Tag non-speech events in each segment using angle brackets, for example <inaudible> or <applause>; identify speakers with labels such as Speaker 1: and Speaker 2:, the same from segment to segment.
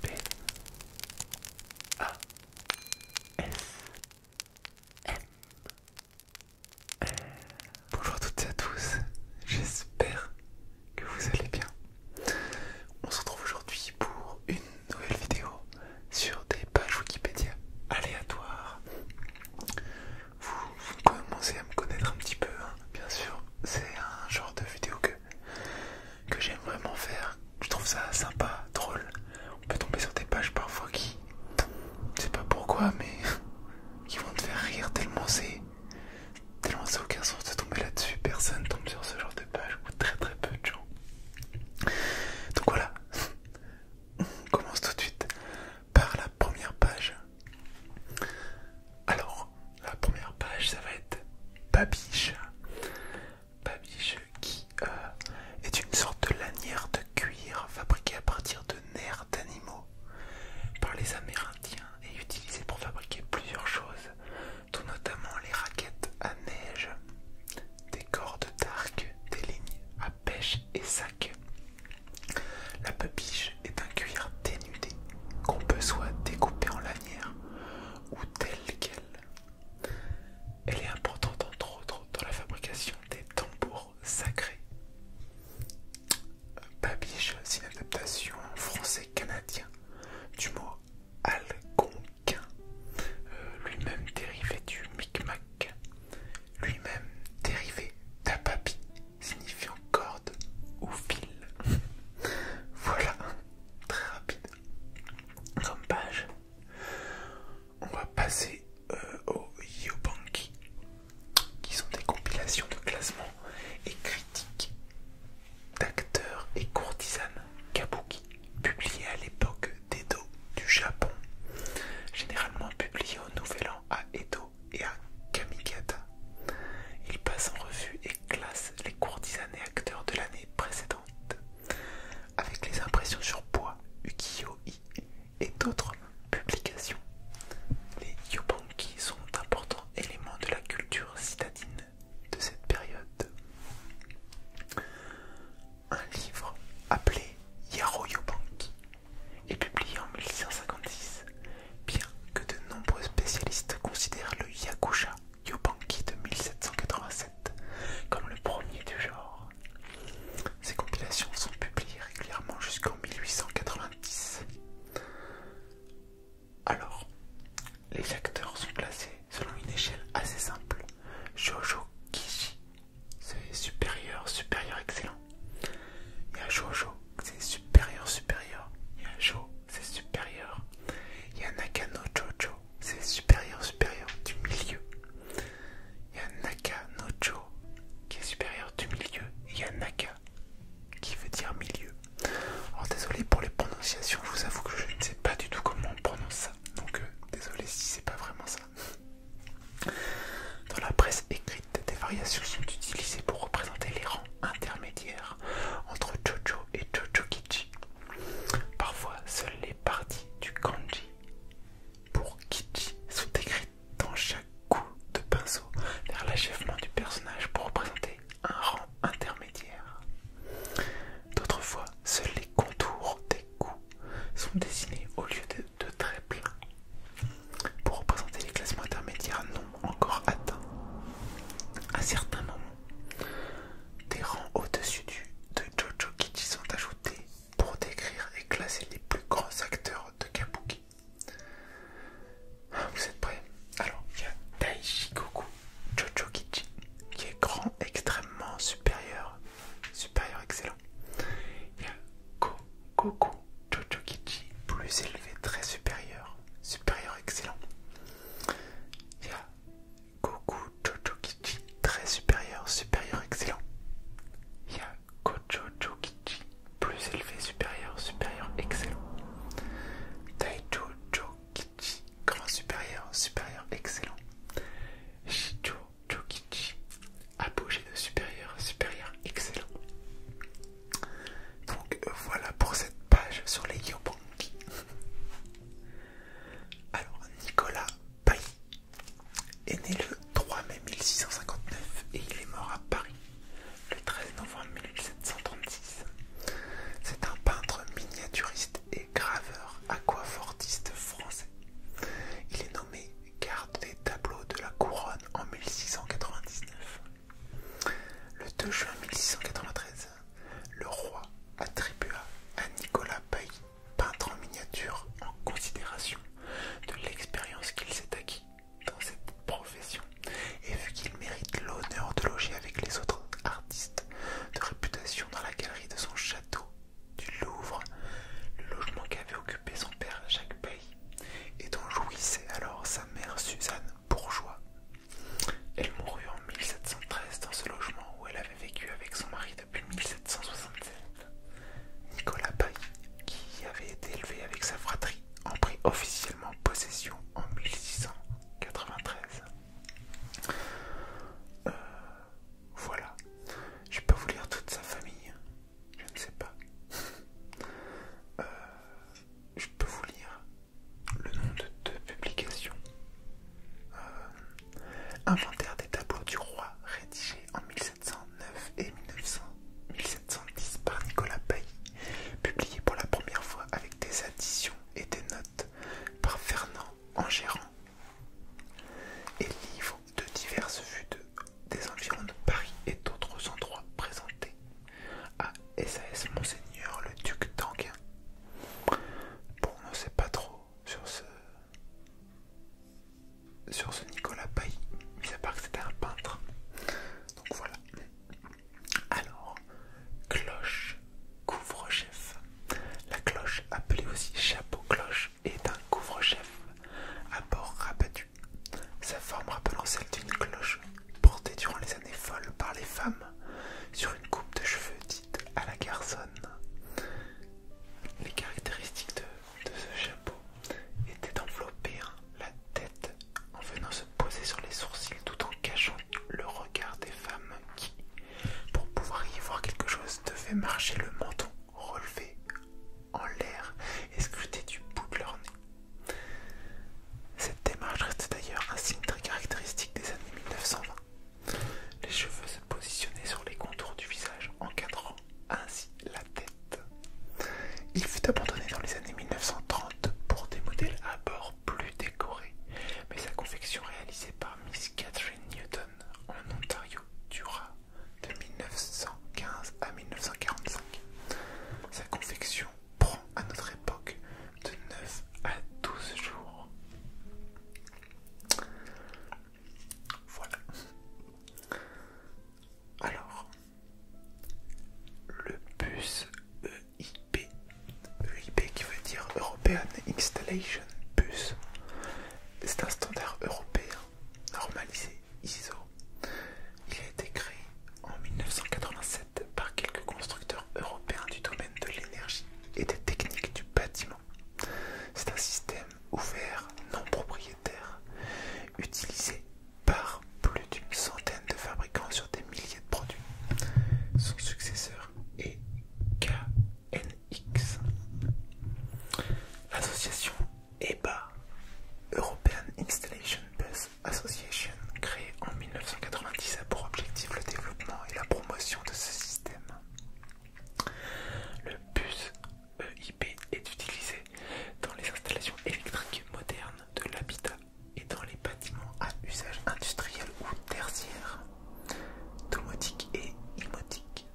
Speaker 1: P A S Bonjour à toutes et à tous, j'espère que vous allez bien. On se retrouve aujourd'hui pour une nouvelle vidéo sur des pages Wikipédia aléatoires. Vous, commencez à me connaître un petit peu, hein. bien sûr. C'est un genre de vidéo que que, j'aime vraiment faire. Je trouve ça sympa, drôle. On peut tomber sur des pages parfois qui, je sais pas pourquoi, mais <laughs> qui vont te faire rire tellement c'est, tellement c'est aucun sens de tomber là-dessus. Personne tombe sur ce genre de page ou très très peu de gens. Donc voilà, <laughs> on commence tout de suite par la première page. Alors, la première page, ça va être Babiche. Babiche qui euh, est une sorte de lanière de cuir fabriquée à partir de nerfs d'animaux par les Amérindiens et utilisée pour fabriquer plusieurs choses, tout notamment les raquettes à neige, des cordes d'arc, des lignes à pêche et sacs. La babiche est un cuir dénudé qu'on peut soit découper en lanière ou telle qu'elle. Elle est importante entre autres dans la fabrication des tambours sacrés. Babiche, c'est une adaptation en français canadien du mot algonquin, euh, lui-même dérivé du micmac, lui-même dérivé d'ababi, signifiant corde ou fil. <laughs> voilà, très rapide comme page. On va passer euh, aux Yobanki, qui sont des compilations de classements et critiques d'acteurs et courtisanes kabuki, publiées à l'époque d'Edo du Japon, généralement publiées au Nouvel An à Edo et à Kamigata. Il passe en revue classe les courtisanes et acteurs de l'année précédente, avec les impressions sur bois, ukiyo-i et d'autres publications. Les yobanki sont importants éléments de la culture citadine de cette période. Un livre appelé Yaro Yobanki est publié en 1656, bien que de nombreux spécialistes considèrent le yakusha Yobanki de 1787 comme le premier du genre. Ces compilations sont publiées régulièrement jusqu'en 1890. Alors, les acteurs sont classés selon une échelle assez simple. Jojo Kishi, c'est supérieur, supérieur, excellent. Il y a Jojo, c'est supérieur, supérieur. Il y a Jo, c'est supérieur. Il y a Naka no Jojo, c'est supérieur, supérieur du milieu. Il y a Naka no Jo qui est supérieur du milieu. Il y a Naka qui veut dire milieu. Alors désolé pour les prononciations, je vous avoue que je ne sais pas du tout comment on prononce ça. Donc euh, désolé si c'est pas vraiment ça. Dans la presse écrite, des variations sont utilisées pour représenter les rangs intermédiaires entre Jojo et Jojo-Kichi, Parfois, seules les parties du kanji pour Kichi sont écrites dans chaque coup de pinceau vers l'achèvement du personnage pour représenter un rang intermédiaire. D'autres fois, seuls les contours des coups sont dessinés au lieu de, de traits pleins pour représenter les classements intermédiaires non encore atteints. À certains moments, des rangs au-dessus du de Jojo Kichi sont ajoutés pour décrire et classer les plus grands acteurs de Kabuki. vous êtes prêts Alors, il y a Daishi Goku Jojo Kichi, qui est grand, extrêmement supérieur, supérieur excellent. Il y a Jojo Kichi, plus élevé, très supérieur, supérieur excellent. Goku Jojo Kichi, très supérieur, supérieur, excellent. Ya y a Kichi, plus élevé, supérieur, supérieur, excellent. Taicho Kichi grand supérieur, supérieur, excellent. Shijo apogée de supérieur, supérieur, excellent. Donc euh, voilà pour cette page sur les Yobanki. <laughs> Alors, Nicolas Pailly est né le 3 mai 1659 et il est mort à Paris le 13 novembre 1736. C'est un peintre miniaturiste et graveur aquafortiste français. Il est nommé garde des tableaux de la couronne en 1699. Le 2 juin 1693, le roi attribua à Nicolas Bailly, peintre en miniature, en considération de l'expérience qu'il s'est acquise dans cette profession et vu qu'il mérite l'honneur de loger avec les autres artistes de réputation dans la galerie de son château du Louvre, le logement qu'avait occupé son père Jacques Bailly et dont jouissait alors sa mère Suzanne Bourgeois. Elle mourut en 1713 dans ce logement où elle avait vécu avec son mari depuis 1767. Nicolas Paille, qui avait été élevé avec sa fratrie, en prit officiellement possession en 1693. Euh, voilà. Je peux vous lire toute sa famille. Je ne sais pas. Euh, je peux vous lire le nom de deux publications. Euh, Inventaire des tableaux du roi, rédigé en 1709 et 1710 par Nicolas Pailly, publié pour la première fois avec des additions et des notes par Fernand Angérand, et livre de diverses vues de, des environs de Paris et d'autres endroits présentés à SAS Monseigneur le Duc d'Anguin Bon, on ne sait pas trop sur ce, Nicolas Paille, mis à part que c'était un peintre. Donc voilà. Alors, cloche couvre-chef. La cloche, appelée aussi chapeau-cloche, est un couvre-chef à bord rabattu. Sa forme rappelant celle d'une cloche portée durant les années folles par les femmes sur une coupe de cheveux dite à la garçonne. Les caractéristiques de, ce chapeau étaient d'envelopper hein, la tête en venant se poser sur les sourcils tout en cachant le regard des femmes qui, pour pouvoir y voir quelque chose, devaient marcher le menton relevé en l'air et scruter du bout de leur nez. Cette démarche reste d'ailleurs un signe très caractéristique des années 1920 les cheveux se positionnaient sur les contours du visage, encadrant ainsi la tête. Il fut abandonné dans les années 1930 pour des modèles à bord plus décorés, mais sa confection réalisée par Miss Catherine Newton en Ontario dura de 1915 à 1945. Sa confection prend à notre époque de 9 à 12 jours. Voilà. Alors, le bus EIP, EIP qui veut dire European Installation Bus, c'est un standard européen normalisé ISO. Il a été créé en 1987 par quelques constructeurs européens du domaine de l'énergie et des techniques du bâtiment. C'est un système ouvert, non propriétaire, utilisé par plus d'une centaine de fabricants sur des milliers de produits. Son successeur est KNX. L'association EBA, European Installation Bus Association, créée en 1990, a pour objectif le développement et la promotion de ce système le bus EIP est utilisé dans les installations électriques modernes de l'habitat et dans les bâtiments à usage industriel ou tertiaire, domotique et imotique.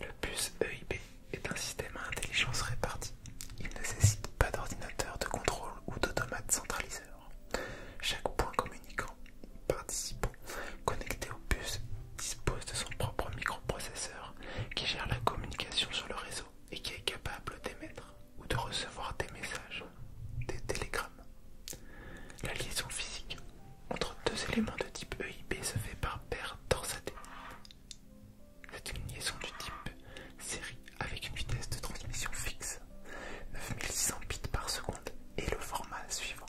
Speaker 1: Le bus EIP est un système à intelligence répartie. Il ne nécessite pas d'ordinateur de contrôle ou d'automate centraliseur. Chaque point communicant participant connecté au bus dispose de son propre microprocesseur qui gère la communication sur le réseau et qui est capable d'émettre ou de recevoir des messages, des télégrammes. La liaison physique entre deux éléments de type EIP se fait par paire torsadée. C'est une liaison du type série avec une vitesse de transmission fixe. 9600 bits par seconde et le format suivant.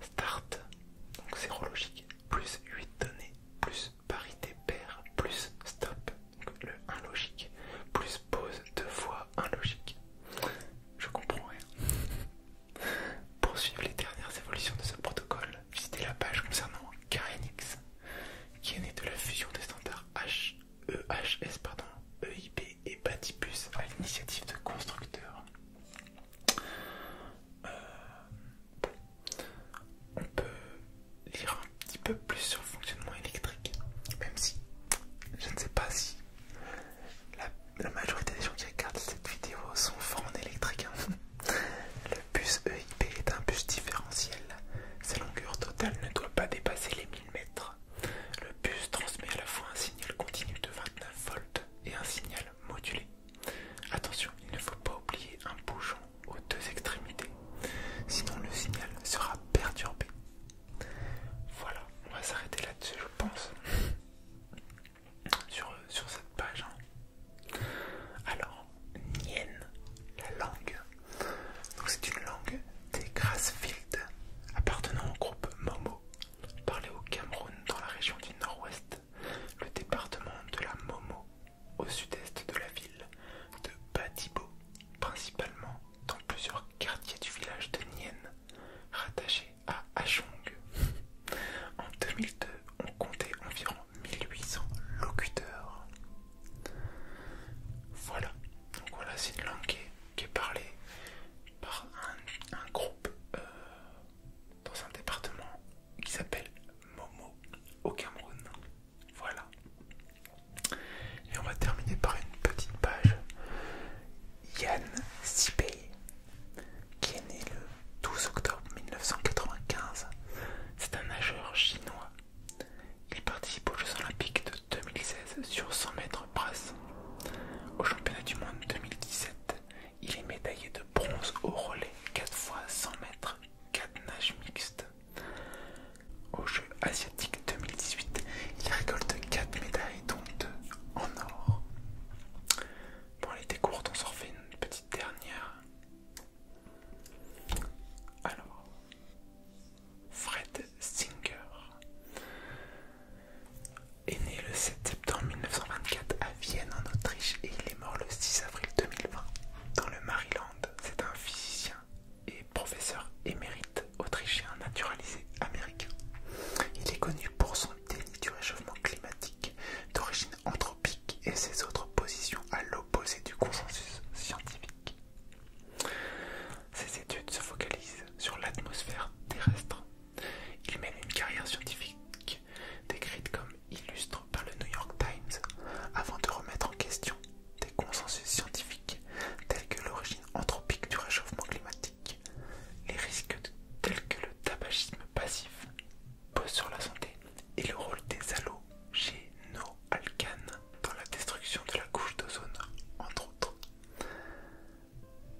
Speaker 1: Start, donc zéro logique, plus 8 données, plus parité paire, plus stop, donc le 1 logique, plus pause 2 fois 1 logique. Je comprends rien. Pour suivre les dernières évolutions de ce protocole, visitez la page concernant KNX, qui est née de la fusion des standards H EHS pardon, EIP et bus, à l'initiative de constructeurs. Euh, on peut lire un petit peu plus sur le fonctionnement électrique, même si je ne sais pas si la, majorité des gens qui regardent cette vidéo sont forts en électrique. Hein. Le bus EIP est un bus différentiel. Sa longueur totale ne doit pas dépasser les 1000 mètres. Le bus transmet à la fois un signal continu de 29 volts et un signal modulé. Attention, il ne faut pas oublier un bouchon aux deux extrémités, sinon le signal sera perturbé. Voilà, on va s'arrêter là-dessus je pense, sur, cette page. Hein. Alors, Nien, la langue. Donc c'est une langue des Grassfield, appartenant au groupe Momo, parlé au Cameroun dans la région du Nord-Ouest, le département de la Momo, au sud-est de la ville de Batibo, principalement dans plusieurs quartiers du village de Nienne, rattaché à Ajong. En 2002, on comptait environ 1800 locuteurs. Voilà, donc voilà, c'est une langue qui qui est parlé par un, groupe euh, dans un département qui s'appelle Momo au Cameroun. Voilà. Et on va terminer par une petite page. Yann Sipei, qui est né le 12 octobre 1995, c'est un nageur chinois. Il participe aux Jeux Olympiques de 2016 sur 100 mètres au championnat du monde 2017, il est médaillé de bronze au relais 4 fois 100 mètres, 4 nages mixtes. Au jeu asiatique 2018, il récolte 4 médailles, dont 2 en or. Bon, les décours on s'en refait une petite dernière. Alors, Fred Singer est né le 7 septembre 1924 à Vienne en Autriche et il est mort le 6 avril 2020 dans le Maryland. C'est un physicien et professeur émérite autrichien naturalisé américain. Il est connu pour son déni du réchauffement climatique d'origine anthropique et ses autres positions à l'opposé du consensus scientifique. Ses études se focalisent sur l'atmosphère terrestre. Il mène une carrière scientifique décrite comme illustre par le New York Times avant de remettre en question des consensus scientifiques tels que l'origine anthropique du réchauffement climatique, les risques tels que le tabagisme passif pose sur la santé et le rôle des halogénoalcanes dans la destruction de la couche d'ozone, entre autres.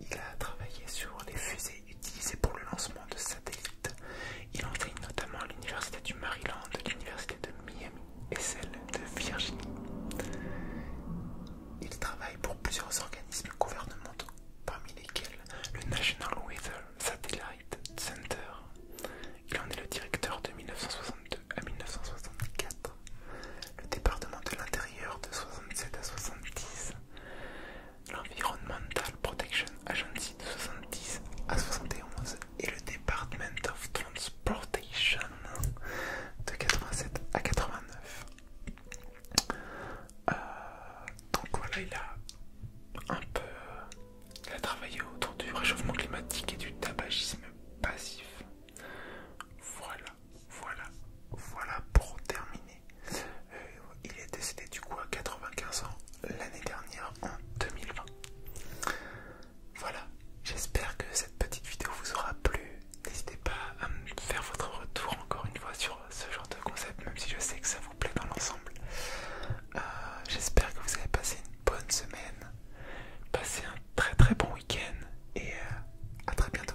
Speaker 1: Il a travaillé sur les fusées utilisées pour le lancement de satellites. Il enseigne notamment à l'université du Maryland, l'université de Miami et celle de Virginie. Il travaille pour plusieurs organismes gouvernementaux, parmi lesquels le National Weather Satellite Center. Il en est le directeur de 1962 à 1964 le département de l'intérieur de 67 à 70, l'Environmental Protection Agency de 70 à 71 et le Department of Transportation de 87 à 89. Euh, donc voilà, il a un peu travaillé autour du réchauffement climatique et du tabagisme passif. Voilà voilà, voilà, pour terminer. Euh, il est décédé du coup à 95 ans l'année dernière en 2020. Voilà, j'espère que cette petite vidéo vous aura plu. N'hésitez pas à me faire votre retour encore une fois sur ce genre de concept, même si je sais que ça vous plaît dans l'ensemble. Euh, j'espère que vous avez passé une bonne semaine, passez un très très bon week-end et euh, à très bientôt.